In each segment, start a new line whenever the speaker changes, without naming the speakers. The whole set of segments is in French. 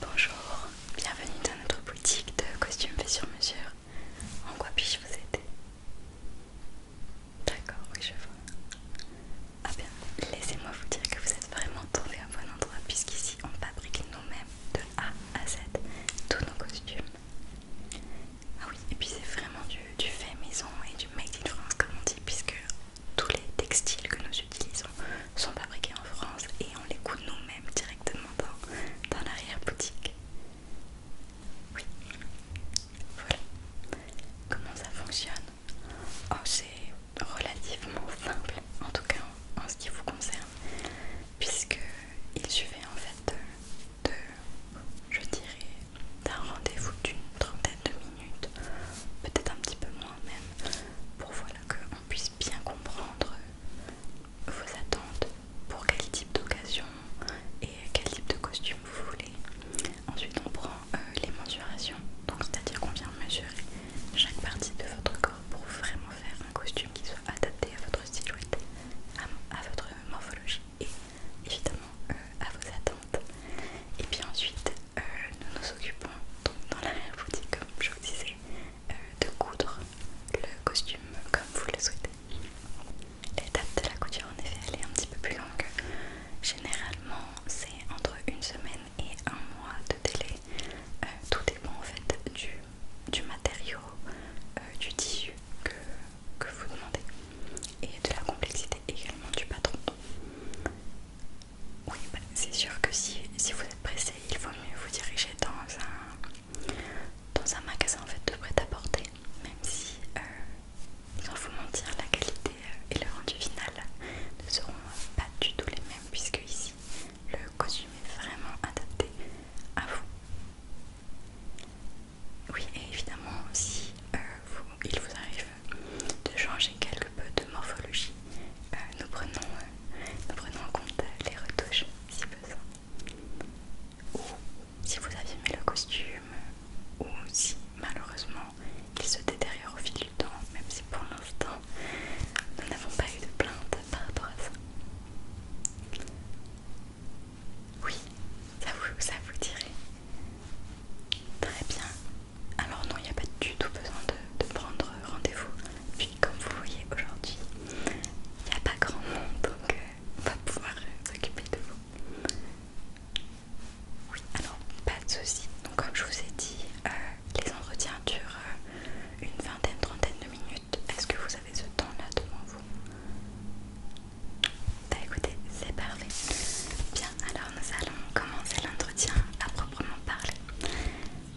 Bonjour, bienvenue dans notre boutique de costumes faits sur mesure. En quoi puis-je vous aider D'accord, oui, je vois. Ah bien, laissez-moi vous dire que vous êtes vraiment tombé au bon endroit puisqu'ici on fabrique nous-mêmes de A à Z tous nos costumes. Ah oui, et puis c'est vraiment du, du fait maison et du made in France comme on dit puisque tous les textiles que nous utilisons sont fabriqués en France et on les coûte nous-mêmes directement dans, l'arrière-boutique. Oui, voilà comment ça fonctionne. Oh, c'est relativement simple, en tout cas en, ce qui vous concerne, puisque il suffit en fait de je dirais, d'un rendez-vous d'une trentaine de minutes peut-être un petit peu moins même, pour voilà qu'on puisse bien comprendre vos attentes, pour quel type d'occasion et quel type de costume vous voulez. Ensuite on prend euh, les mensurations, donc c'est-à-dire qu'on vient mesurer chaque partie de votre corps pour vraiment faire un costume qui soit adapté à votre silhouette, à votre morphologie et évidemment euh, à vos attentes. Et puis ensuite, euh, nous nous occupons donc, dans l'arrière-boutique, comme je vous disais, euh, de coudre le costume comme vous le souhaitez. L'étape de la couture, en effet, elle est un petit peu plus longue. Généralement, c'est entre une semaine et un mois de délai. tout dépend en fait du, du matériau, du tissu que, que vous demandez et de la complexité également du patron. Oui, bah, c'est sûr que si, si vous êtes pressé, il vaut mieux vous diriger dans un, magasin fait, de prêt-à-porter, même si, euh, sans vous mentir, la qualité euh, et le rendu final ne seront pas du tout les mêmes, puisque ici, le costume est vraiment adapté à vous. Oui, et évidemment, si euh, il vous arrive de changer quelque peu de morphologie, euh, euh, nous, prenons, en compte euh, les retouches si besoin. Ou si vous avez mis le costume, ou si malheureusement il se détériore au fil du temps, même si pour l'instant nous n'avons pas eu de plainte par rapport à ça. Oui, ça vous, ça vous dirait. Très bien, alors non, il n'y a pas du tout besoin de, prendre rendez-vous. Puis comme vous voyez aujourd'hui, il n'y a pas grand monde, donc euh, on va pouvoir euh, s'occuper de vous. Oui, alors pas de soucis. Donc comme je vous ai dit, euh, les entretiens durent une vingtaine, trentaine de minutes. Est-ce que vous avez ce temps-là devant vous Bah écoutez, c'est parfait alors nous allons commencer l'entretien à proprement parler.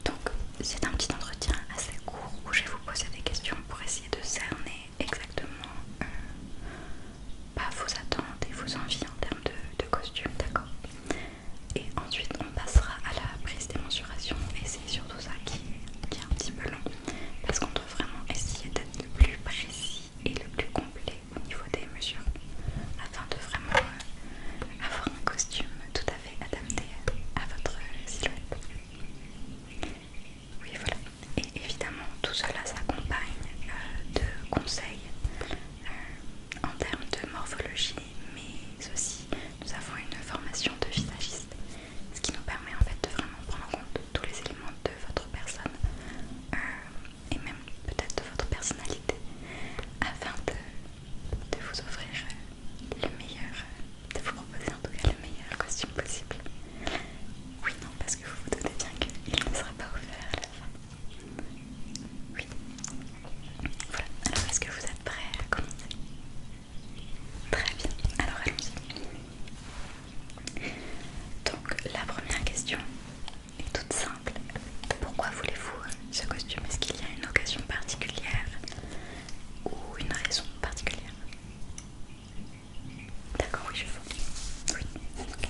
Donc, c'est un petit entretien assez court où je vais vous poser des questions pour essayer de cerner exactement pas euh, bah, vos attentes et vos envies en termes de, costume, d'accord Et ensuite, on passera à la prise des mensurations et c'est surtout ça qui est, qui est un petit peu long parce qu'on doit vraiment essayer d'être le plus précis et le plus complet au niveau des mesures afin de vraiment euh, avoir un costume tout à fait adapté à votre silhouette. Oui voilà. Et évidemment tout cela s'accompagne euh, de conseils euh, en termes de morphologie mais aussi nous avons une formation de visagiste ce qui nous permet en fait de vraiment prendre en compte tous les éléments de votre personne et même peut-être de votre personnalité afin de, vous offrir euh, le meilleur, de vous proposer en tout cas le meilleur costume possible. Oui, non, parce que vous vous doutez bien qu'il ne sera pas offert à la fin. Oui. Voilà, alors est-ce que vous êtes prêts à commencer Très bien, alors allons-y. Donc la première question et toute simple. Pourquoi voulez-vous euh, ce costume Est-ce qu'il y a une occasion particulière ou une raison particulière D'accord, oui, je vois. Oui, ok.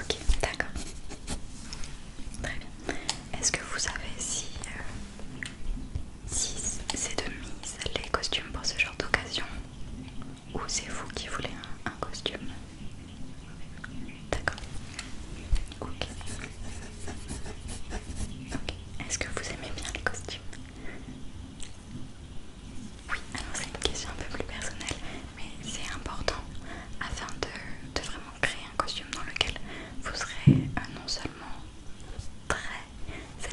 Ok, d'accord. Très bien. Est-ce que vous savez si euh, 6. C'est de mise les costumes pour ce genre d'occasion. Ou c'est vous qui voulez un, costume D'accord. Ok. Est-ce que vous aimez bien les costumes Oui, alors c'est une question un peu plus personnelle, mais c'est important afin de, vraiment créer un costume dans lequel vous serez euh, non seulement très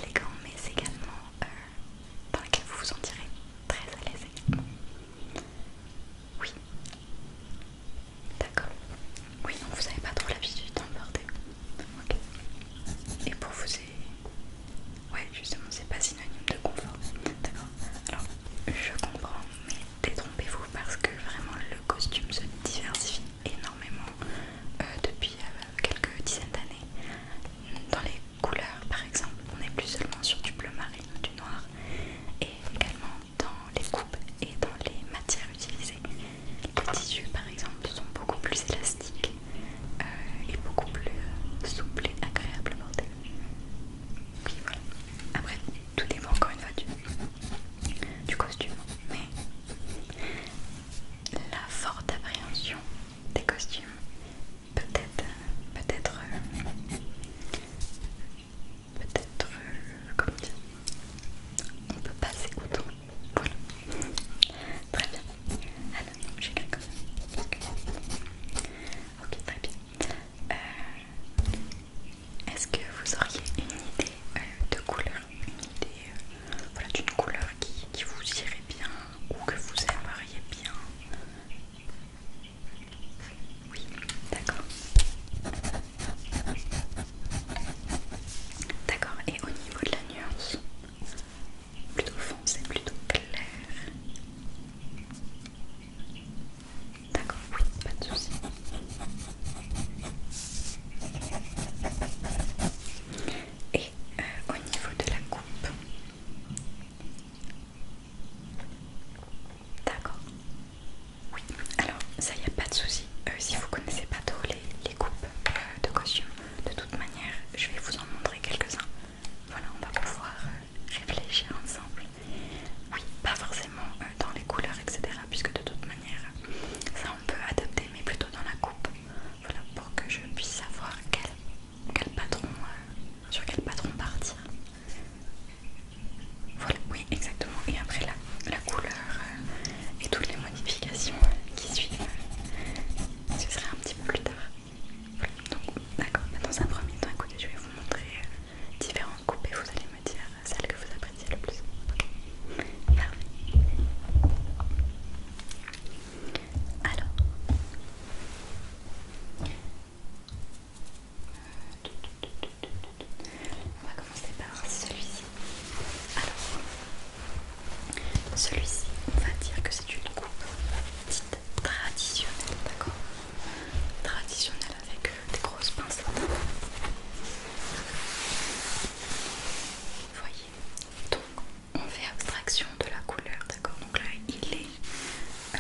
élégant, mais c'est également dans euh, lequel vous vous sentirez très à l'aise Oui. D'accord. Oui, non, vous n'avez pas trop l'habitude d'en porter. Et pour vous, c'est... Ouais, justement, c'est pas synonyme de confort. D'accord. Alors, je comprends, mais détrompez-vous parce que vraiment le costume se diversifie énormément euh, depuis euh, quelques dizaines d'années. Dans les couleurs, par exemple, on n'est plus seulement sur du bleu marine ou du noir, et également dans les coupes et dans les matières utilisées. Les tissus, par exemple, sont beaucoup plus élastiques euh, et beaucoup plus souples et agréables à porter. voilà. Après, tout dépend encore une fois du, du costume, mais la forte appréhension des costumes. Peut-être, peut-être, peut-être, comment dire, on peut pas s'écouter. Voilà. Très bien. Alors, j'ai quelque chose. Ok, très bien. Euh, est-ce que vous auriez une idée euh, de couleur une idée d'une couleur qui, vous irait bien ou que vous aimeriez bien. Oui, d'accord. D'accord, et au niveau de la nuance, plutôt foncée, plutôt clair. D'accord, oui, pas de soucis. Et euh, au niveau de la coupe. D'accord. Oui, alors ça, y a pas de souci. Euh, si vous connaissez pas trop les, coupes euh, de costume, de toute manière, je vais vous en montrer quelques-uns. Voilà, on va pouvoir réfléchir ensemble. Oui, pas forcément dans les couleurs, etc. Puisque de toute manière, ça peut adapter, mais plutôt dans la coupe. Voilà, pour que je puisse savoir quel, patron, euh, sur quel patron partir. Voilà, oui, exactement. Et après la, couleur euh, et toutes les modifications euh, qui suivent, ce sera un petit peu plus tard. donc d'accord, dans un premier temps, écoutez, je vais vous montrer différentes coupes et vous allez me dire celle que vous appréciez c'est le plus simple. Alors. On va commencer par celui-ci. Alors, celui-ci, on va dire que c'est une coupe dite traditionnelle, d'accord Traditionnelle avec des grosses pinces. Vous voyez Donc on fait abstraction de la couleur, d'accord Donc là il est euh,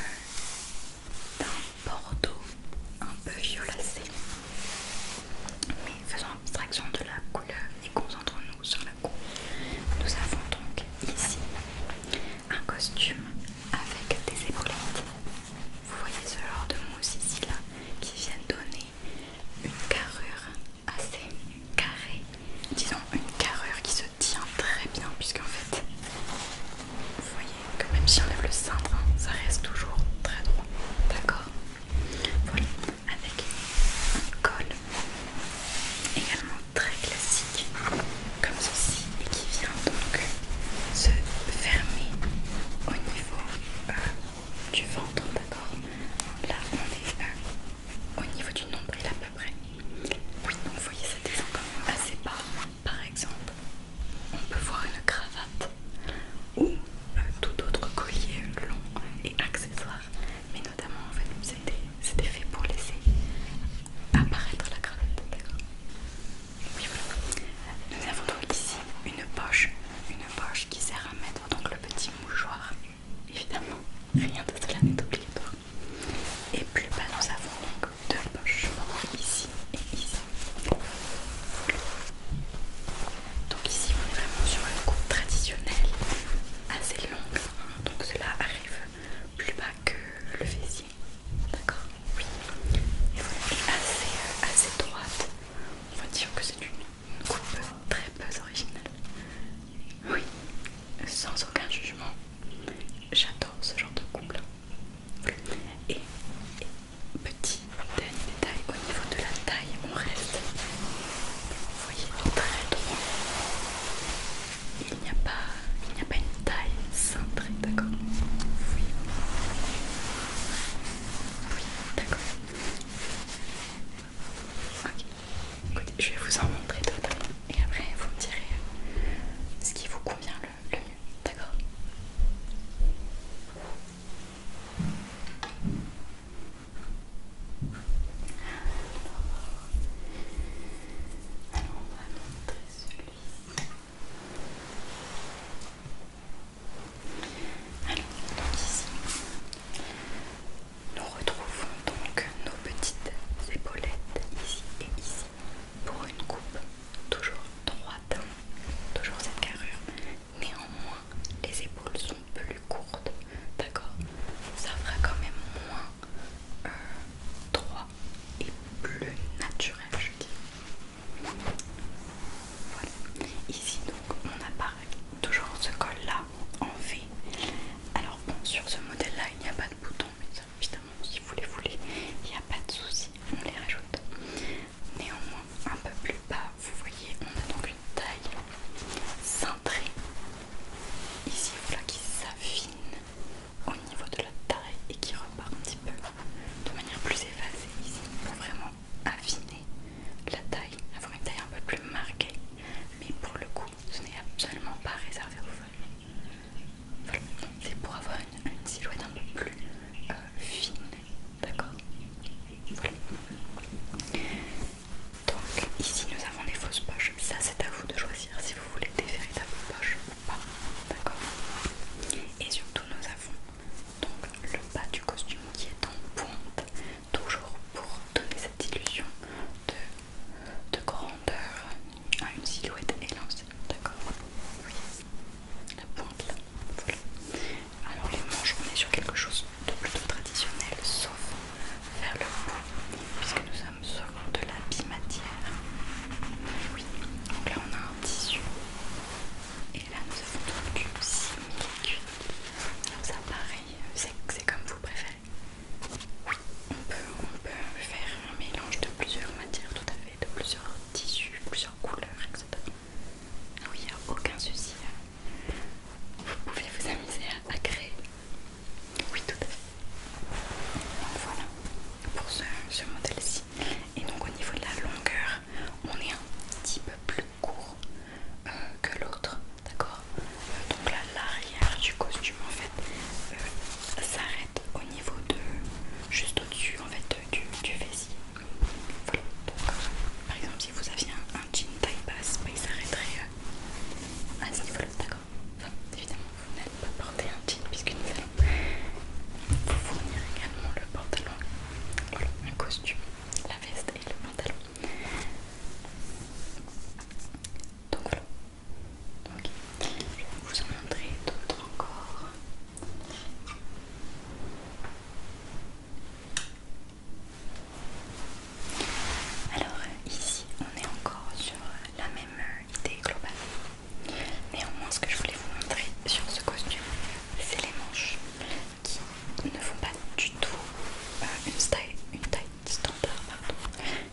d'un bordeaux un peu violacé. Mais faisons abstraction de la couleur et concentrons-nous sur la coupe. Nous avons donc ici un costume avec des épaulettes. Vous voyez ce genre de mousse ici là qui viennent donner une carrure assez carrée, disons une carrure qui se tient très bien, puisqu'en fait, vous voyez que même si on lève le cintre, hein, ça reste toujours très droit, d'accord Voilà, avec un col également très classique, comme ceci, et qui vient donc se fermer au niveau euh, du ventre, d'accord Là, on est euh, au niveau du nombril à peu près. Oui, donc vous voyez, ça descend assez bas. Par exemple, on peut voir une cravate ou euh, tout autre collier long et accessoire. Mais notamment, en fait, c'était fait pour laisser apparaître la cravate, d'accord oui, voilà. Nous avons donc ici une poche, une poche qui sert à mettre donc le petit mouchoir, évidemment, rien de cela n'est obligatoire. Et plus bas, nous avons donc deux poches, ici et ici. Donc, ici, on est vraiment sur une coupe traditionnelle, assez longue, hein. donc cela arrive plus bas que le fessier, d'accord Oui, et voilà, assez, euh, assez droite. On va dire que c'est une coupe très peu originale. Oui, sans aucun jugement, j'adore ce genre de couple. Et, petit dernier détail au niveau de la taille, on reste. Vous voyez, très droit. Il n'y a pas, il n'y a pas une taille cintrée, d'accord Oui. Oui, d'accord. Ok, écoutez, je vais vous en montrer d'autres et après vous me direz euh, ce qui vous convient le, mieux, d'accord alors, on va montrer celui-ci. Alors, nous retrouvons donc nos petites épaulettes ici et ici pour une coupe toujours droite, toujours cette carrure. Néanmoins, les épaules sont plus courtes, d'accord Ça fera quand même moins euh, droit et plus naturel, je dis. Voilà. Ici donc, on n'a pas toujours ce col là en V. Alors bon, sur ce modèle là, il n'y a pas de bouton, mais évidemment, si vous les voulez, il n'y a pas de souci, on les rajoute. Néanmoins, un peu plus bas, vous voyez, on a donc une taille cintrée. Ici, voilà qui s'affine au niveau de la taille et qui repart un petit peu de manière plus effacée ici vraiment affiner la taille, avoir une taille un peu plus marquée, mais pour le coup, ce n'est absolument pas réservé aux femmes. Voilà. C'est pour avoir une, silhouette un peu plus euh, fine, d'accord Donc, ici nous avons des fausses poches. Ça, c'est à vous de choisir si vous voulez des véritables poches ou pas, d'accord Et surtout, nous avons donc le bas du costume qui est en pointe, toujours pour donner cette illusion de, grandeur à une silhouette élancée, d'accord Oui, la pointe là, voilà. Alors les manches, on est sur quelque chose de plutôt traditionnel, sauf vers le bout, puisque nous sommes sur de la bimatière. Oui, donc là on a un tissu et là nous avons donc 6 Alors ça pareil, c'est comme vous préférez. Oui, on peut, faire un mélange de plusieurs matières tout à fait, de plusieurs tissus, plusieurs couleurs, etc. Oui, il n'y a aucun souci. Hein. Vous pouvez vous amuser à, créer. Oui, tout à fait. voilà pour ce modèle-ci. Et donc au niveau de la longueur, on est un petit peu plus court. Euh, que l'autre, d'accord euh, Donc là, l'arrière du costume en fait euh, s'arrête au niveau de, juste au-dessus en fait du, du fessier. Voilà, par exemple si vous aviez un, jean taille basse, bah, il s'arrêterait à ce niveau-là, d'accord évidemment, vous n'êtes pas porter un jean puisque nous allons vous fournir également le pantalon, voilà, un costume la veste et le pantalon. Donc voilà. Ok. Je vais vous en montrer d'autres encore. Alors ici on est encore sur la même idée globale. Néanmoins ce que je voulais vous montrer sur ce costume c'est les manches qui ne font pas du tout euh, une, taille standard,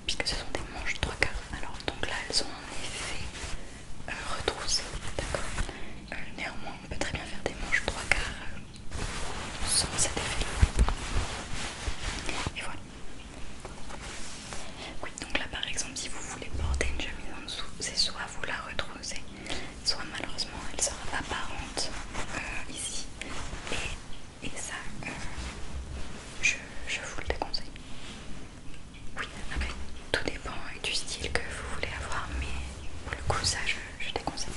puisque ce sont des manches 3 quarts. Alors, donc là, elles ont en effet euh, retroussé. d'accord euh, Néanmoins, on peut très bien faire des manches 3 quarts sans cet effet Et voilà. Oui, donc là par exemple, si vous voulez porter une chemise en dessous, c'est soit vous la retroussez, soit malheureusement elle sera apparente euh, ici et, ça euh, je, vous le déconseille oui après tout dépend du style que vous voulez avoir mais pour le coup ça je, déconseille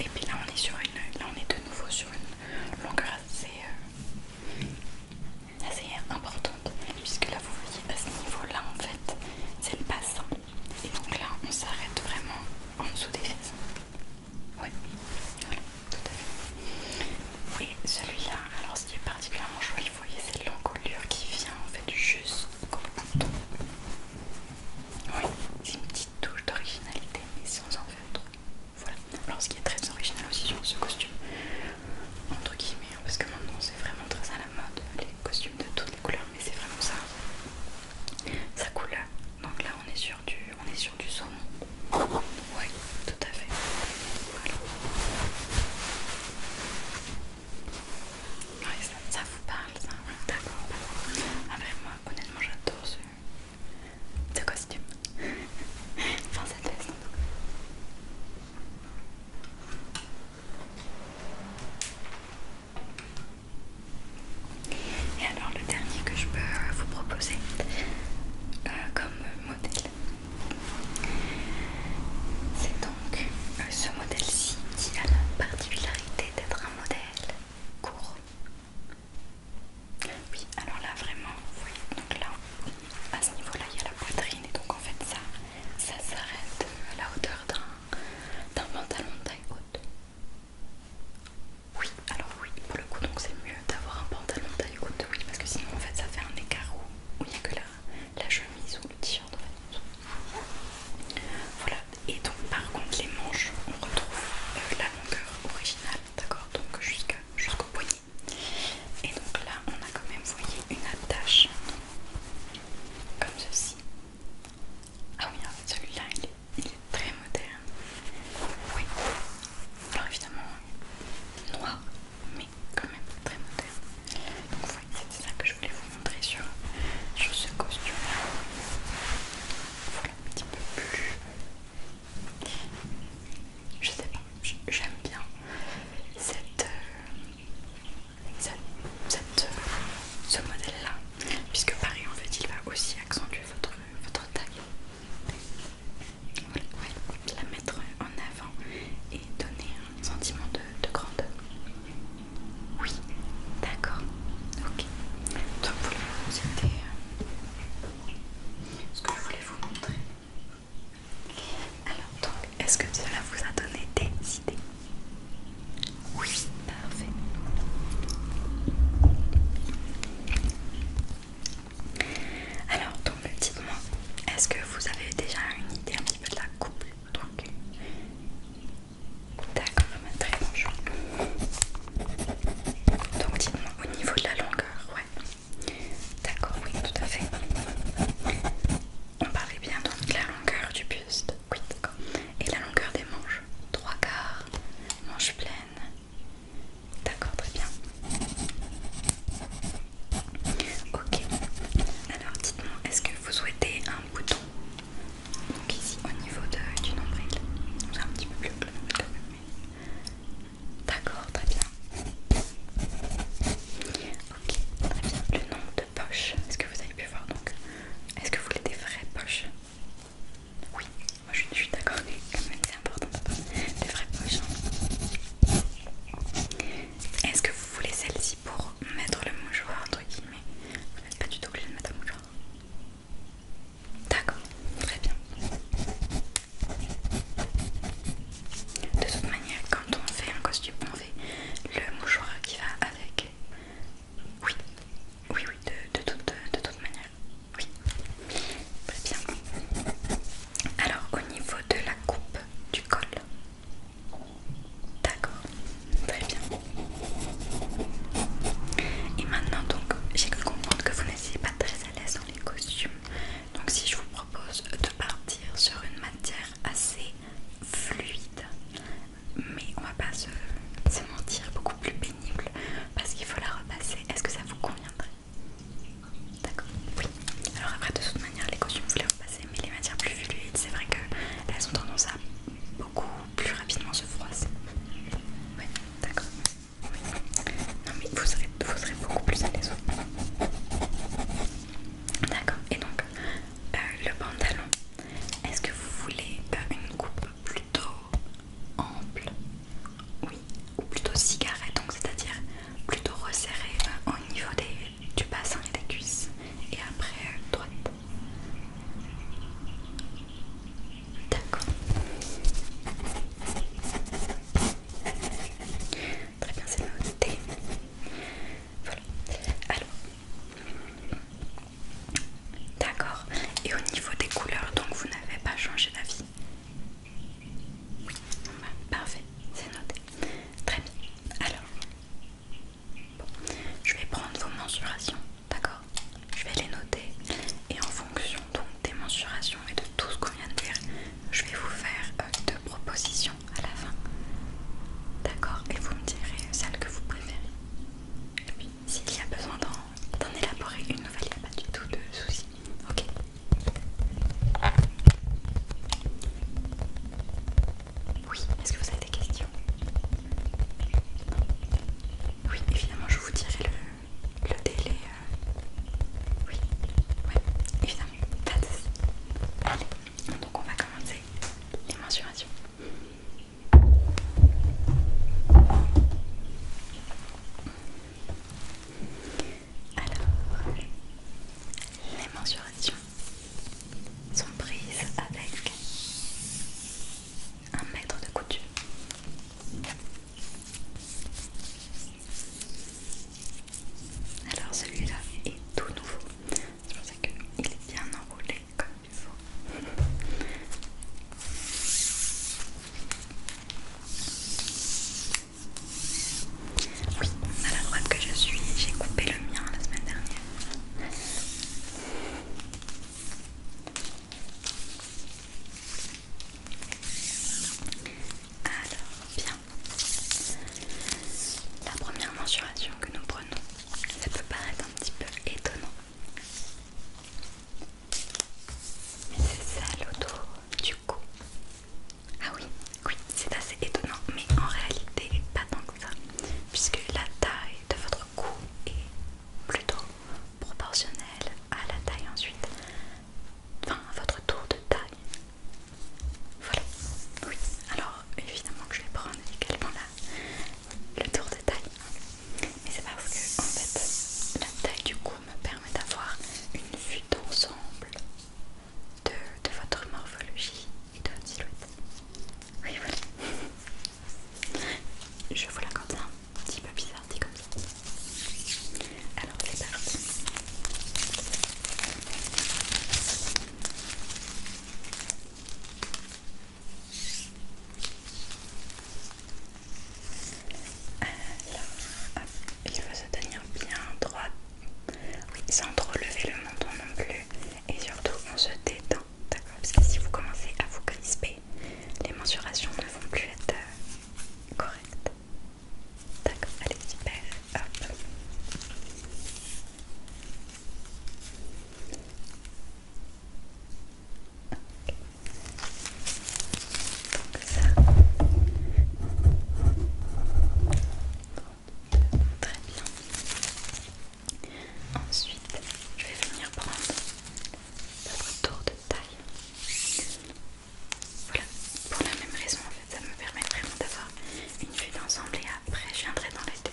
et puis là on est sur une on est de nouveau sur une longueur assez euh, assez importante puisque là vous voyez à ce niveau là en fait c'est le bassin et donc là on s'arrête vraiment en dessous des fesses oui voilà tout à fait Oui, celui là alors ce qui est particulièrement joli vous voyez c'est l'encolure qui vient en fait jusqu'au bouton oui c'est une petite touche d'originalité mais sans en faire trop voilà alors ce qui est très original aussi sur ce costume entre guillemets hein, parce que maintenant c'est vraiment très à la mode les costumes de toutes les couleurs mais c'est vraiment ça ça coule donc là on est sur du on est sur du saumon ouais tout à fait ça, vous parle ça hein. d'accord après ah ben, moi honnêtement j'adore ce costume enfin cette veste et alors le dernier que je peux euh, vous proposer euh, comme modèle, c'est donc euh, ce modèle-ci qui a la particularité d'être un modèle court. Oui, alors là vraiment, vous voyez, donc là, à ce niveau-là, il y a la poitrine et donc en fait ça, ça s'arrête à la hauteur d'un d'un pantalon de taille haute Oui, alors oui, pour le coup, donc c'est mieux d'avoir un pantalon de taille haute, oui, parce que sinon en fait ça fait un écart où il n'y a que la, chemise ou le t-shirt la Voilà, et donc par contre les manches, on retrouve euh, la longueur originale, d'accord, donc jusqu'au poignet. Et donc là, on a quand même, voyé une attache comme ceci. Ah oui, en fait, celui-là, il, est très moderne. Oui, alors évidemment, noir, mais quand même très moderne. Donc, oui, c'était ça que je voulais vous montrer sur, ce costume-là. Voilà, un petit peu plus. Je sais pas, j'aime bien cette, euh, cette, euh, ce modèle-là, puisque pareil, en fait, il va aussi accentuer votre, votre taille. la mettre en avant et donner un sentiment de, grandeur. Oui, d'accord, ok. Donc c'était euh, ce que je voulais vous montrer. Alors donc, est-ce que cela vous a donné des idées Oui, parfait. Alors donc, dites-moi, est-ce que vous avez déjà une idée un petit peu de la couple Donc, d'accord, bah, très bon choix. Donc dites-moi au niveau de la longueur, ouais. D'accord, oui, tout à fait. On parlait bien donc de la longueur du buste, oui d'accord, et la longueur des manches, trois quarts, manches pleines, d'accord très bien. Ok, alors dites-moi, est-ce que vous souhaitez un bouton donc ici au niveau de, du nombril, c'est un petit peu plus bleu. D'accord, très bien. Ok, très bien. Le nom de poche, est-ce que vous avez pu voir donc Est-ce que vous voulez des vraies poches Oui, moi je, suis d'accord, quand c'est important d'avoir des vraies poches. Hein. Est-ce que vous voulez celle-ci pour mettre le mouchoir entre guillemets Vous n'êtes pas du tout obligé de mettre un mouchoir. D'accord, très bien. De toute manière, quand on fait un costume, on le mouchoir qui va avec. Oui, oui, oui, de, toute, de toute manière. Oui, très bien. Alors, au niveau de la coupe du col. D'accord, très bien. Et maintenant, donc, j'ai cru comprendre que vous n'étiez pas très à l'aise dans les costumes. Donc, si je vous propose de partir sur une matière assez fluide, mais on va pas se, mentir, beaucoup plus pénible parce qu'il faut la repasser. Est-ce que ça vous conviendrait D'accord, oui. Alors après, de toute manière, les costumes vous les repassez, mais les matières plus fluides, c'est vrai que elles ont tendance à beaucoup plus rapidement se froisser. Oui, d'accord. Oui. Non mais vous serez, vous serez beaucoup plus à l'aise. D'accord. Et donc, euh, le pantalon. Est-ce que vous voulez euh, une coupe plutôt ample Oui, ou plutôt cigarette, donc c'est-à-dire plutôt resserrée euh, au niveau des, du bassin et des cuisses, et après droite. D'accord. Très bien, c'est noté. Voilà. Alors, D'accord. Et au niveau des couleurs, donc vous n'avez pas changé d'avis Oui, bah, parfait, c'est noté. Très bien. Alors, je vais prendre vos mensurations, d'accord Je vais les noter et en fonction donc des mensurations et de tout ce qu'on vient de dire, je vais vous faire euh, deux propositions à la fin. D'accord Et vous me direz celle que vous préférez. Et puis, s'il y a besoin d'en élaborer une nouvelle, il n'y a pas du tout de souci. Ok Oui, est-ce que vous avez des questions Oui, évidemment, je vous dirai le, délai. Euh. Oui, Oui, évidemment, pas de donc on va commencer les mensurations. Alors, les mensurations sont prises avec un mètre de couture. Alors celui-là est tout nouveau. C'est pour ça qu'il est bien enroulé comme il faut. Oui, à la droite que je suis, j'ai coupé le mien la semaine dernière. Alors, bien. La première mensuration que nous prenons ça peut paraître un petit peu étonnant. Mais c'est ça le tour du cou. Ah oui, oui, c'est assez étonnant, mais en réalité pas tant que ça, puisque la taille de votre cou est plutôt proportionnelle à la taille ensuite, enfin à votre tour de taille voilà, oui. Alors, évidemment que je vais prendre également le tour de taille. Mais c'est parce que, en fait, la taille du cou me permet d'avoir une vue d'ensemble de, votre morphologie et de votre silhouette. Oui, voilà. Je vous la compte hein. un petit peu bizarre, dit comme ça. Alors, c'est parti. Alors, il faut se tenir bien droit, oui, sans trop lever le menton non plus, et surtout on se détend, d'accord Parce que si vous commencez à vous crisper, les mensurations ne vont plus être euh, correctes. D'accord, allez, super, hop. Très bien. Ensuite, je vais venir prendre votre tour de taille. Voilà, pour la même raison en fait, ça me permet vraiment d'avoir une vue d'ensemble et après je viendrai dans les deux.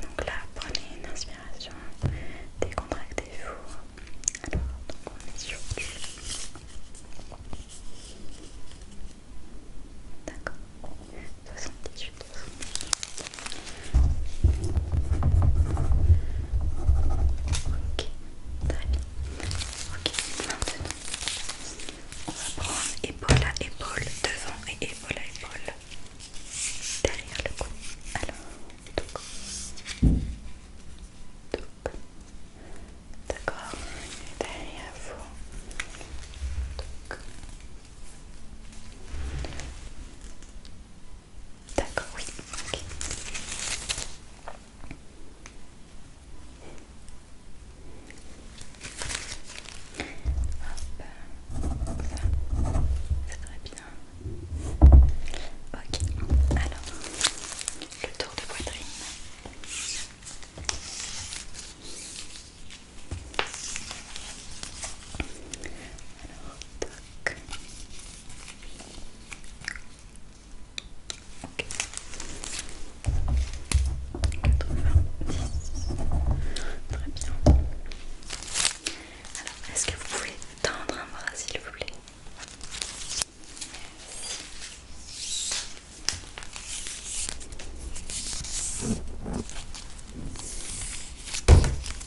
donc là, prenez une inspiration, décontractez-vous. Alors, on est sur D'accord. 78. 78. Ok, très bien. Ok, maintenant, on va prendre épaule à épaule, devant et épaule à épaule derrière le cou. Alors, donc, d'accord, derrière vous. Donc, D'accord, oui. ok. Hop, ça, ça devrait bien. Ok, alors, le tour de poitrine. Alors, toc. Ok. 90. Très bien. Alors, est-ce que vous pouvez tendre un bras s'il vous plaît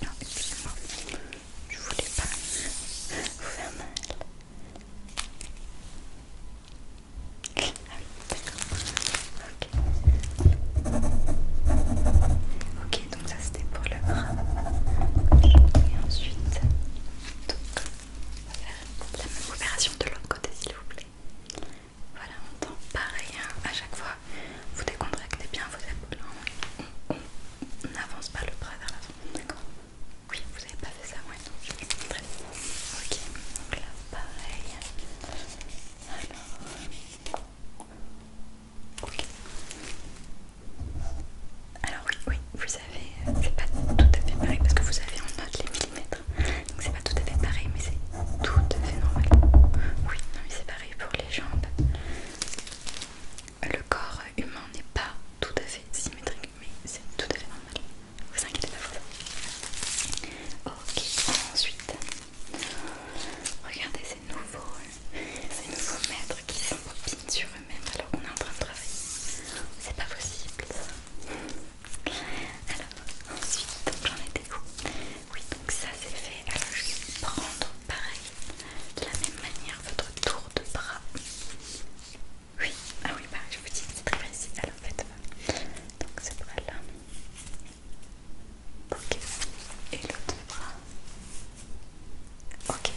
Non, excusez-moi, je ne voulais pas vous faire mal. Ah oui, d'accord. Ok. donc ça c'était pour le bras. Et ensuite, on va faire la même opération de l'autre côté s'il vous plaît. Voilà, on tend pareil à chaque fois. Vous décontractez bien vos épaules. Hein. On n'avance pas le bras vers l'avant, d'accord Oui, vous avez pas fait ça, moi donc je vais vous montrer. Ok, donc là pareil. Alors, alors oui, oui, vous avez, euh, c'est pas tout à fait pareil parce que vous avez en note les millimètres, donc c'est pas tout à fait pareil, mais c'est tout à fait normal. Oui, non mais c'est pareil pour les jambes. Le corps humain n'est pas tout à fait symétrique, mais c'est tout à fait normal. Vous inquiétez pas. Voilà. Ok, ensuite Regardez ces nouveaux, euh, ces nouveaux maîtres qui pin sur eux-mêmes alors qu'on est en train de travailler. C'est pas possible Alors ensuite, j'en étais où Oui, donc ça c'est fait. Alors je vais prendre pareil, de la même manière, votre tour de bras. Oui, ah oui, pareil, bah, je vous dis, c'est très précis. Alors faites-le. donc c'est bras là. Ok. Et l'autre bras. Ok.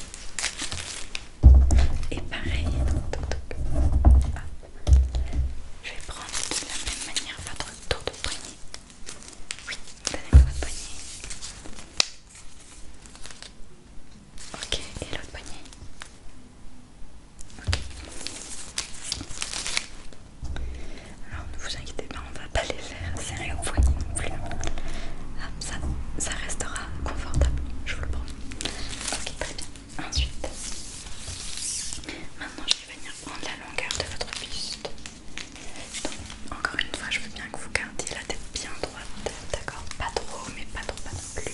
Et pareil. Ah. Je vais prendre de la même manière votre tour de poignet. Oui, donnez-moi votre poignet. Ok, et l'autre poignet. Ok. Alors ne vous inquiétez pas, on va pas les faire serrer au poignet non plus. Ah, ça, ça restera confortable, je vous le promets. Ok, très bien. Ensuite, maintenant je vais venir prendre la longueur de votre buste. Donc, encore une fois, je veux bien que vous gardiez la tête bien droite, d'accord Pas trop, mais pas trop, pas non plus.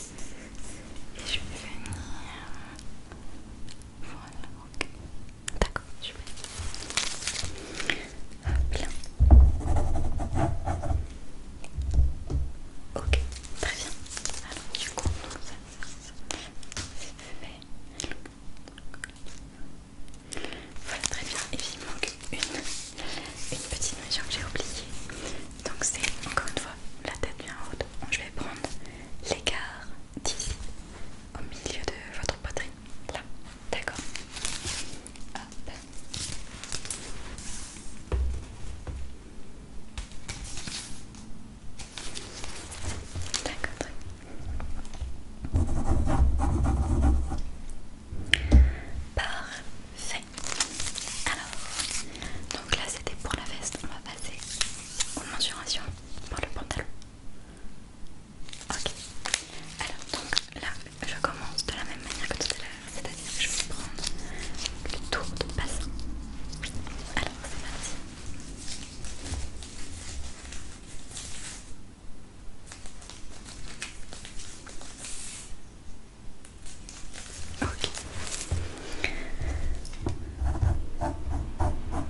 Et je vais venir voilà, ok. D'accord, je vais... Hop là. Ok, très bien. Alors, du coup, ça, c'est fait. Voilà, très bien. Et puis, il manque une, petite mesure que j'ai oubliée. Donc, c'est encore une fois la tête bien haute. Donc, je vais prendre l'écart d'ici au milieu de votre poitrine. Là, d'accord. D'accord. Parfait. Alors, donc là c'était pour la veste. On va passer aux mensurations pour le pantalon. Ok. Alors donc là, je commence de la même manière que tout à l'heure, c'est-à-dire que je vais prendre le tour de bassin. Alors c'est parti. Ok.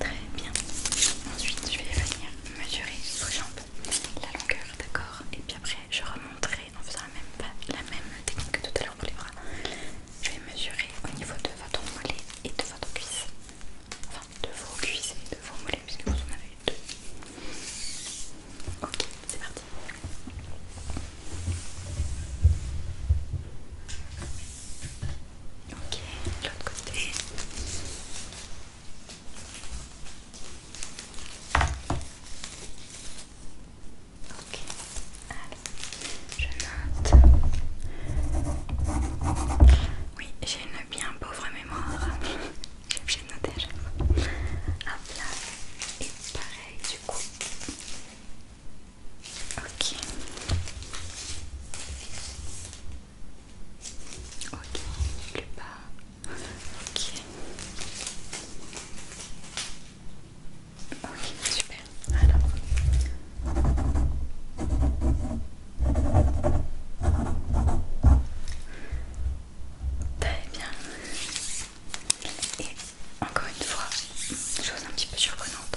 Très bien. Ensuite, je vais venir mesurer vos jambes, la longueur, d'accord Et puis après, je remonterai en faisant la même, technique que tout à l'heure pour les bras. Je vais mesurer au niveau de votre mollet et de votre cuisse. Enfin, de vos cuisses et de vos mollets, puisque vous en avez deux. Ok, c'est parti. Ok, de l'autre côté. Ok, allez, je note. Oui, j'ai une bien pauvre mémoire. J'ai obligé de noter à chaque fois. Hop là. Et pareil, du coup. Ok. Ok, le bas. Ok. Ok, super. Alors. Très bien. Et encore une fois, chose un petit peu surprenante,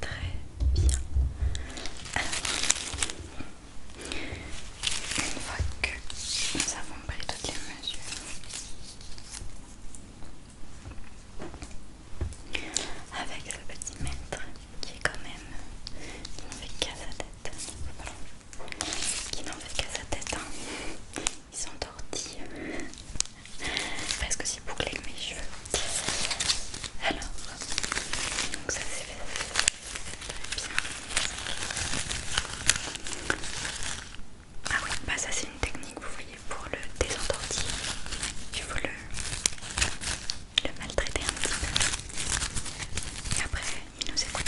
Très bien. Alors, une fois que nous avons pris toutes les mesures, avec le petit maître qui est quand même qui n'en fait qu'à sa tête, qui n'en fait qu'à sa tête, hein. ils sont tortillés. Parce que boucler boucler mes cheveux. Alors, donc ça c'est fait. Bien. Ah oui, bah ça c'est une technique, vous voyez, pour le désentortiller. Il faut le, le maltraiter un petit peu. Et après, il nous écoute.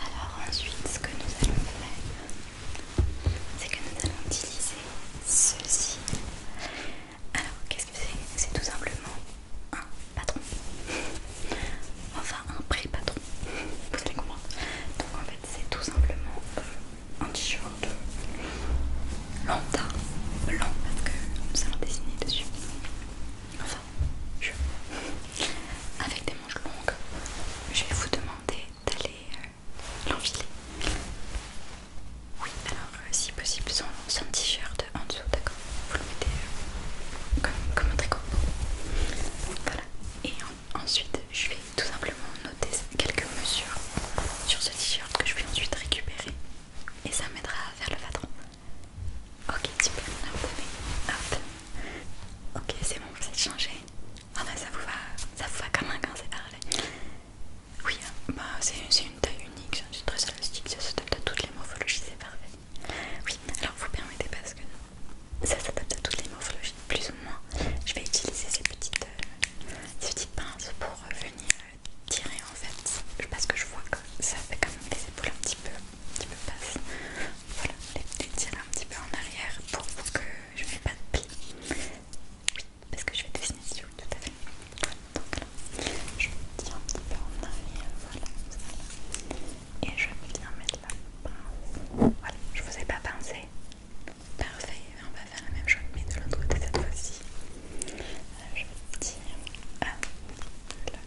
Alors ensuite ce que nous allons faire c'est que nous allons utiliser ceci. Alors qu'est-ce que c'est C'est tout simplement un patron. Enfin un pré-patron. Vous allez comprendre. Donc en fait c'est tout simplement euh, un t-shirt euh, lambda, blanc parce que nous allons dessiner dessus avec des manches longues, je vais vous demander d'aller euh, l'enfiler. Oui, alors euh, si possible sans, t-shirt en dessous, d'accord Vous le mettez euh, comme, un tricot. Voilà. Et ensuite, je vais tout simplement noter quelques mesures sur ce t-shirt que je vais ensuite récupérer. Et ça m'aidera à faire le patron. Ok, tu on Ok, c'est bon, vous êtes changé. Ah bah ça vous va, quand même comme un quand c'est parlé. Oui, hein. bah, c'est une taille unique, c'est très élastique, ça s'adapte à toutes les morphologies, c'est parfait. Oui, alors vous permettez parce que ça s'adapte à toutes les morphologies, plus ou moins. Je vais utiliser ces petites, euh, pinces pour euh, venir tirer en fait, parce que je vois que ça fait quand même des épaules un petit peu un petit peu Voilà, les les tirs un petit peu en arrière pour que je ne mette pas de plis. parce que je vais dessiner dessus, tout à fait. Donc là, je me tire un petit peu en arrière, voilà, Et je viens mettre la pince. Voilà, je vous ai pas pensé. Parfait, on va faire la même chose, mais de l'autre côté cette fois-ci. Euh, je tire. Ah, là,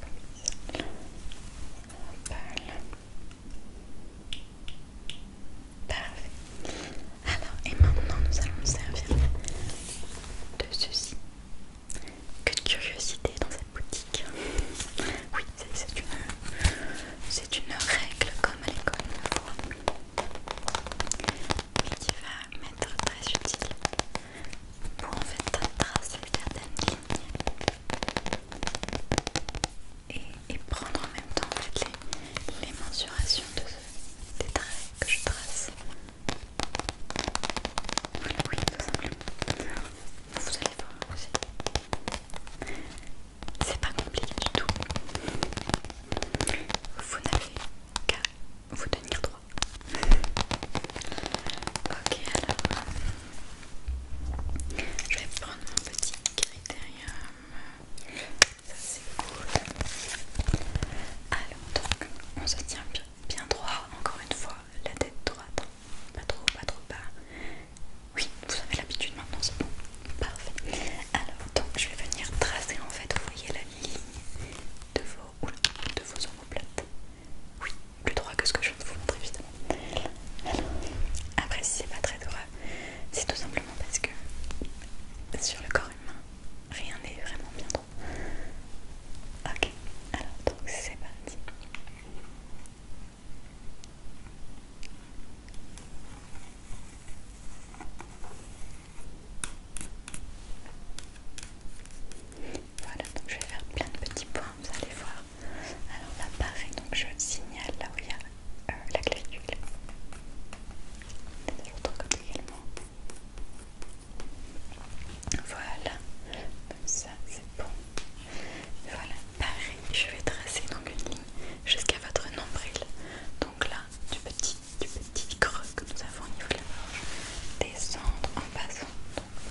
Parfait. Alors, et maintenant nous allons nous servir de ceci. Que de curiosité dans cette boutique. Oui, c'est une, règle comme à l'école mais Qui va m'être très utile pour en fait tracer certaines lignes et, et prendre en même temps en les, mensurations de des traits que je trace. oui, tout simplement. Vous allez voir aussi. C'est pas compliqué du tout. Vous n'avez qu'à vous tenir droit. Ok, alors je vais prendre mon petit critérium. Ça c'est cool. Alors, donc on se tient bien, droit, encore une fois, la tête droite. Pas trop, pas trop bas. Oui, vous avez l'habitude maintenant, c'est bon. Parfait. Alors, donc je vais venir tracer en fait, vous voyez la ligne de vos, de vos omoplates. Oui, plus droit que ce que je viens de vous montrer évidemment. après si c'est pas très droit, c'est tout simplement parce que sur le corps humain, rien n'est vraiment bien droit. Ok, alors donc c'est parti. Voilà, donc je vais faire plein de petits points, vous allez voir. Alors là, pareil, donc je signale là où il y a euh, la clavicule. De l'autre côté également. Voilà, comme ça c'est bon. Voilà, pareil, je vais tracer donc une ligne jusqu'à votre nombril. Donc là, du petit, du petit creux que nous avons au niveau de la gorge, descendre en passant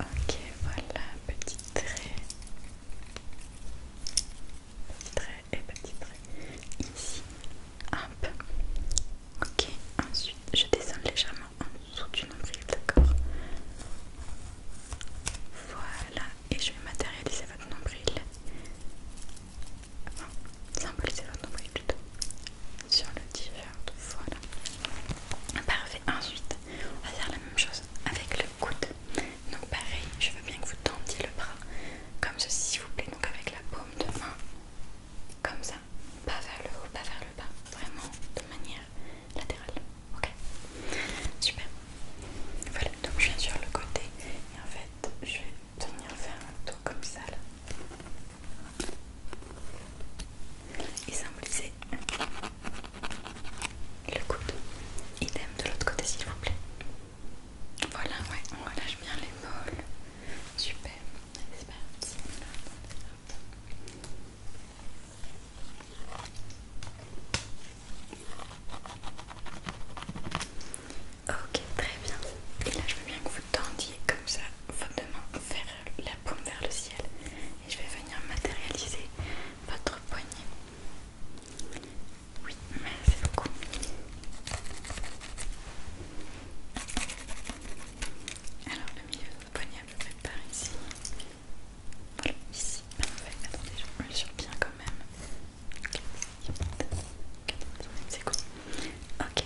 Ok, voilà, petit trait, petit trait et petit trait ici, hop, ok, ensuite je descends légèrement en dessous du nombril, d'accord Voilà, et je vais matérialiser votre nombril enfin, symboliser nombre sur le t voilà. Parfait, ensuite, on va faire la même chose avec le coude. Donc pareil, je veux bien que vous tendiez le bras comme ceci s'il vous plaît, donc avec la paume de main, comme ça, pas vers le haut, pas vers le bas, vraiment de manière latérale, ok Super. Voilà, donc je viens sur le côté et en fait je vais Tenir faire un tour comme ça là et symboliser le coude idem de l'autre côté s'il vous plaît voilà ouais on relâche bien l'épaule super c'est Ok, très bien. Et là, je veux bien que vous tendiez comme ça votre main vers la paume vers le ciel. Et je vais venir matérialiser votre poignet. Oui, merci beaucoup. Alors, le milieu de votre poignet, je vais par ici. Voilà, ici. Attendez, je me le bien quand même. C'est cool. Ok,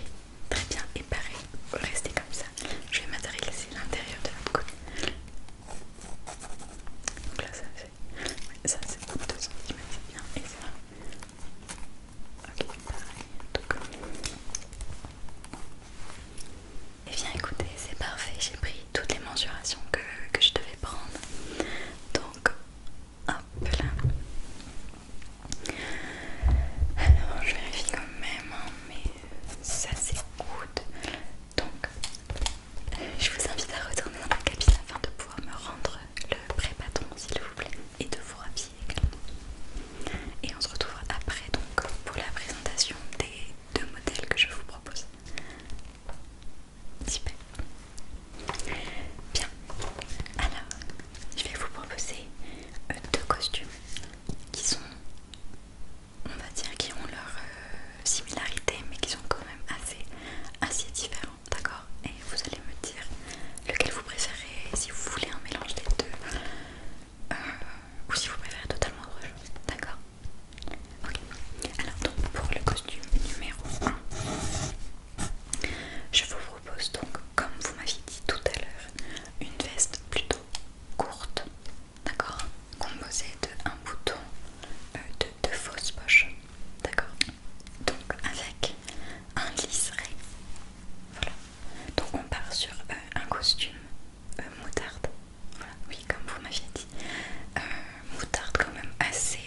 Très bien, et pareil, restez comme ça. Je vais matérialiser l'intérieur de la côté. Donc là, ça fait. Ça, c'est 2 cm, c'est bien. Et ça. Ok, pareil. Et eh bien, écoutez, c'est parfait. J'ai pris toutes les mensurations que je devais prendre. Donc, Hop là. Alors je vérifie quand même, hein, mais ça s'écoute. Donc je vous invite à retourner dans la cabine afin de pouvoir me rendre le pré patron s'il vous plaît et de vous rhabiller également. Et on se retrouve après donc pour la présentation des deux modèles que je vous propose. Super. Bien, alors, je vais vous proposer euh, deux costumes qui sont, on va dire, qui ont leur euh, similarité, mais qui sont quand même assez, différents, d'accord Et vous allez me dire lequel vous préférez, si vous voulez un mélange des deux, euh, ou si vous préférez totalement autre chose, d'accord Ok. Alors donc pour le costume numéro 1, je vous propose donc, comme vous m'aviez dit tout à l'heure, une veste plutôt courte, d'accord Composée de un bouton, euh, de deux fausses poches, d'accord Donc avec un liseré, voilà. Donc on part sur euh, un costume euh, moutarde, voilà, oui, comme vous m'aviez dit, moutarde quand même assez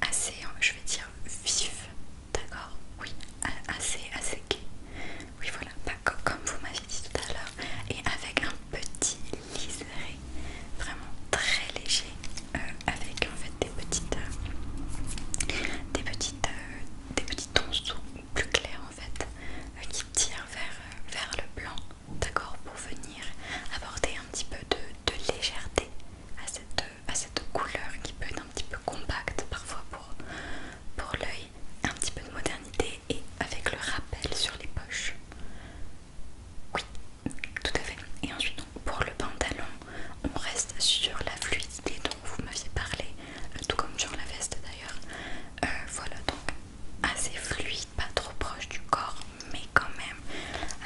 assez, hein, je vais dire vif, d'accord Oui, assez, assez gay. Oui, voilà, pas comme vous m'avez dit tout à l'heure, et avec un petit liseré vraiment très léger, euh, avec en fait des petites, euh, des petites, euh, des petits tons plus clairs en fait, qui tirent vers, vers le blanc, d'accord, pour venir apporter un petit peu de, de légèreté à cette euh, à cette couleur qui peut être un petit peu compacte parfois pour, pour l'œil, un petit peu de modernité et avec le rappel sur les poches. Oui, tout à fait. Et ensuite, pour le pantalon, on reste sur la fluidité dont vous m'aviez parlé, euh, tout comme sur la veste d'ailleurs. Euh, voilà, donc assez fluide, pas trop proche du corps, mais quand même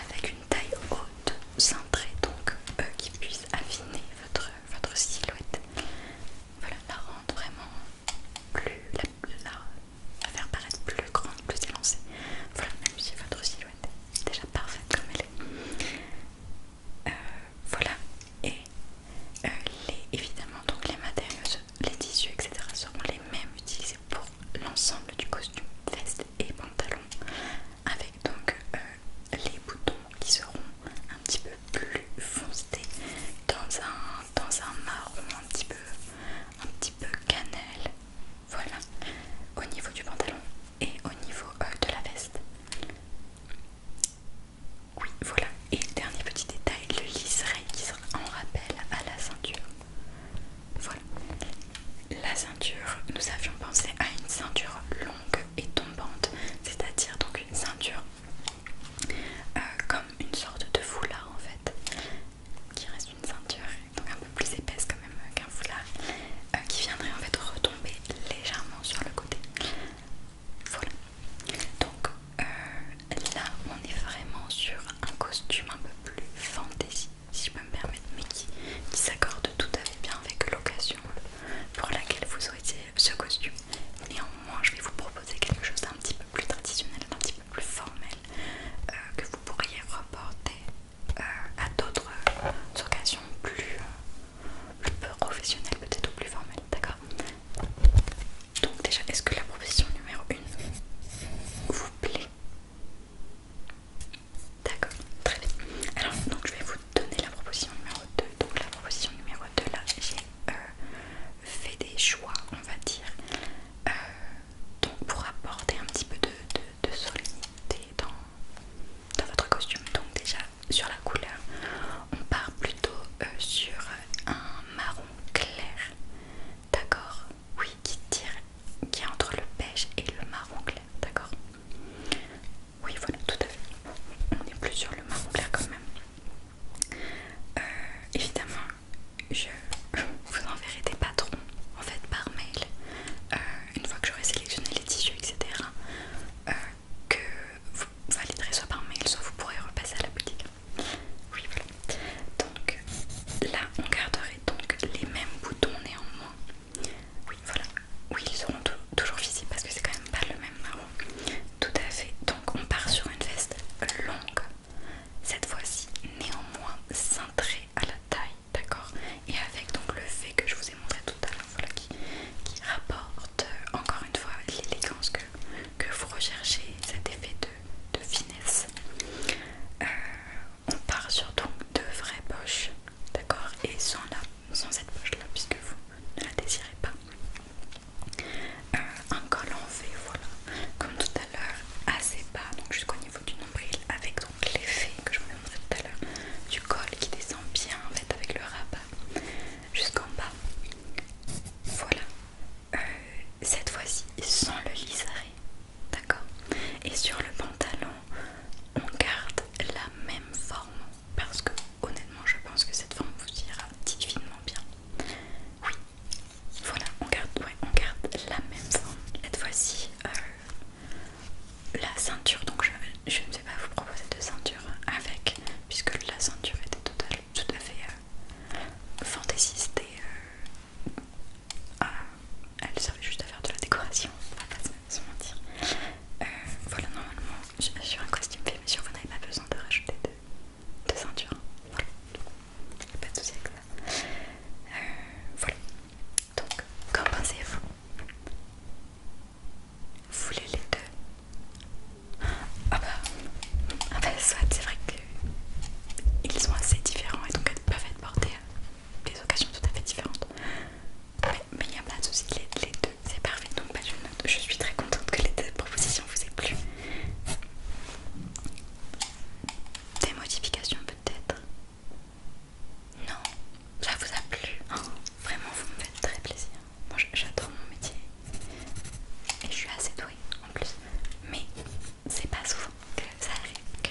avec une taille haute, cintrée, donc euh, qui puisse affiner votre, silhouette. Voilà, la rendre vraiment plus, la, faire paraître plus grande, plus élancée. Voilà, même si votre silhouette est déjà parfaite comme elle est. Euh, voilà, et euh, évidemment, donc les matériaux, les tissus, etc. seront les mêmes utilisés pour l'ensemble du costume, veste et pantalon avec donc euh, les boutons qui seront un petit peu plus foncés dans un, dans un marron un petit peu un petit peu cannelle voilà au niveau du pantalon et au niveau euh, de la veste oui voilà et dernier petit détail le liseré qui sera en rappel à la ceinture voilà la ceinture nous avions pensé à une ceinture longue et tombante, c'est-à-dire donc une ceinture euh, comme une sorte de foulard en fait, qui reste une ceinture donc un peu plus épaisse quand même qu'un foulard, euh, qui viendrait en fait retomber légèrement sur le côté. Voilà. Donc euh, là, on est vraiment sur un costume un peu plus fantasy, si je peux me permettre, mais qui, qui s'accorde tout à fait bien avec l'occasion pour laquelle vous auriez ce costume. Néanmoins, je vais vous proposer quelque chose d'un petit peu plus traditionnel, d'un petit peu plus formel, euh, que vous pourriez reporter euh, à d'autres occasions plus, professionnelles, peut-être ou plus formelles, d'accord donc déjà, est-ce que la proposition numéro 1 vous plaît D'accord, très bien. Alors, donc je vais vous donner la proposition numéro 2. Donc, la proposition numéro 2, là, j'ai euh, fait des choix, on va dire, euh, donc pour apporter un petit peu de, de, solennité dans, votre costume. Donc, déjà, sur la couleur, on part plutôt euh, sur un marron clair, d'accord Oui, qui tire, qui est entre le beige et le marron clair, d'accord oui, voilà, tout à fait. On est plus sur le marron quand même. Euh, évidemment, je vous enverrai des patrons en fait par mail euh, une fois que j'aurai sélectionné les tissus, etc. Euh, que vous validerez soit par mail, soit vous pourrez repasser à la boutique. Oui, voilà. Donc là, on garderait donc les mêmes boutons néanmoins. Oui, voilà. Oui, ils seront toujours visibles parce que c'est quand même pas le même marron. Tout à fait. Donc on part sur une veste longue. Cette fois-ci, néanmoins cintrée à la taille, d'accord Et avec donc le fait que je vous ai montré tout à l'heure, qui, rapporte euh, encore une fois l'élégance que, vous recherchez, cet effet de, finesse. Euh, on part sur donc de vraies poches d'accord Et sans, la, sans cette poche là, puisque vous ne la désirez pas. Euh, un col en V, voilà, comme tout à l'heure, assez bas, donc jusqu'au niveau du nombril, avec donc l'effet que je vous ai montré tout à l'heure du col qui descend bien en fait avec le rabat jusqu'en bas. Voilà, euh, cette fois-ci sans le liseré, d'accord Et sur le pantalon, on garde la même forme parce que honnêtement je pense que cette forme vous ira divinement bien. Oui, voilà, on garde, on garde la même forme. Cette fois-ci, euh, la ceinture, donc je, ne vais pas vous proposer de ceinture avec, puisque la ceinture était tout à fait euh, fantaisiste et euh, ah, elle servait juste à faire de la décoration, on va pas se mentir. Euh, voilà, normalement, sur un costume fait mesure, vous n'avez pas besoin de rajouter de, ceintures ceinture. Hein. Voilà, pas de soucis avec ça. Euh, voilà, donc, qu'en pensez-vous Vous voulez les deux Ah bah, ah bah soit, c'est vrai qu'ils sont assez différents et donc elles peuvent être portés à des occasions tout à fait différentes. Mais il n'y a pas de soucis, les, les deux, c'est parfait. Donc bah, je, suis très contente que les deux propositions vous aient plu. Des modifications peut-être Non, ça vous a plu oh, Vraiment, vous me faites très plaisir. Moi j'adore mon métier et je suis assez douée en plus. Mais c'est pas souvent que ça arrive que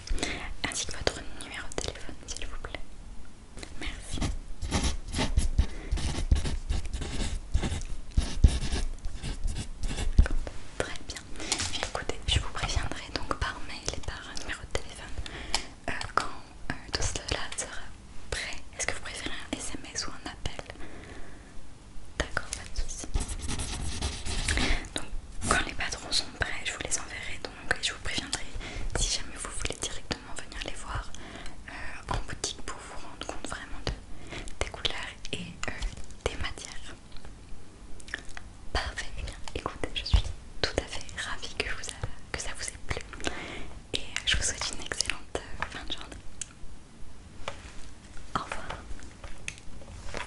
ainsi que votre numéro de téléphone, s'il vous plaît. Merci. Très bien. Écoutez, je vous préviendrai donc par mail et par numéro de téléphone euh, quand euh, tout cela sera prêt. Est-ce que vous préférez un SMS ou un appel D'accord, pas de soucis. Quand les patrons sont prêts, je vous les enverrai donc et je vous préviendrai si jamais vous voulez directement venir les voir euh, en boutique pour vous rendre compte vraiment des couleurs et euh, des matières. Parfait, et eh bien écoutez, je suis tout à fait ravie que, vous que ça vous ait plu et euh, je vous souhaite une excellente fin de journée. Au revoir.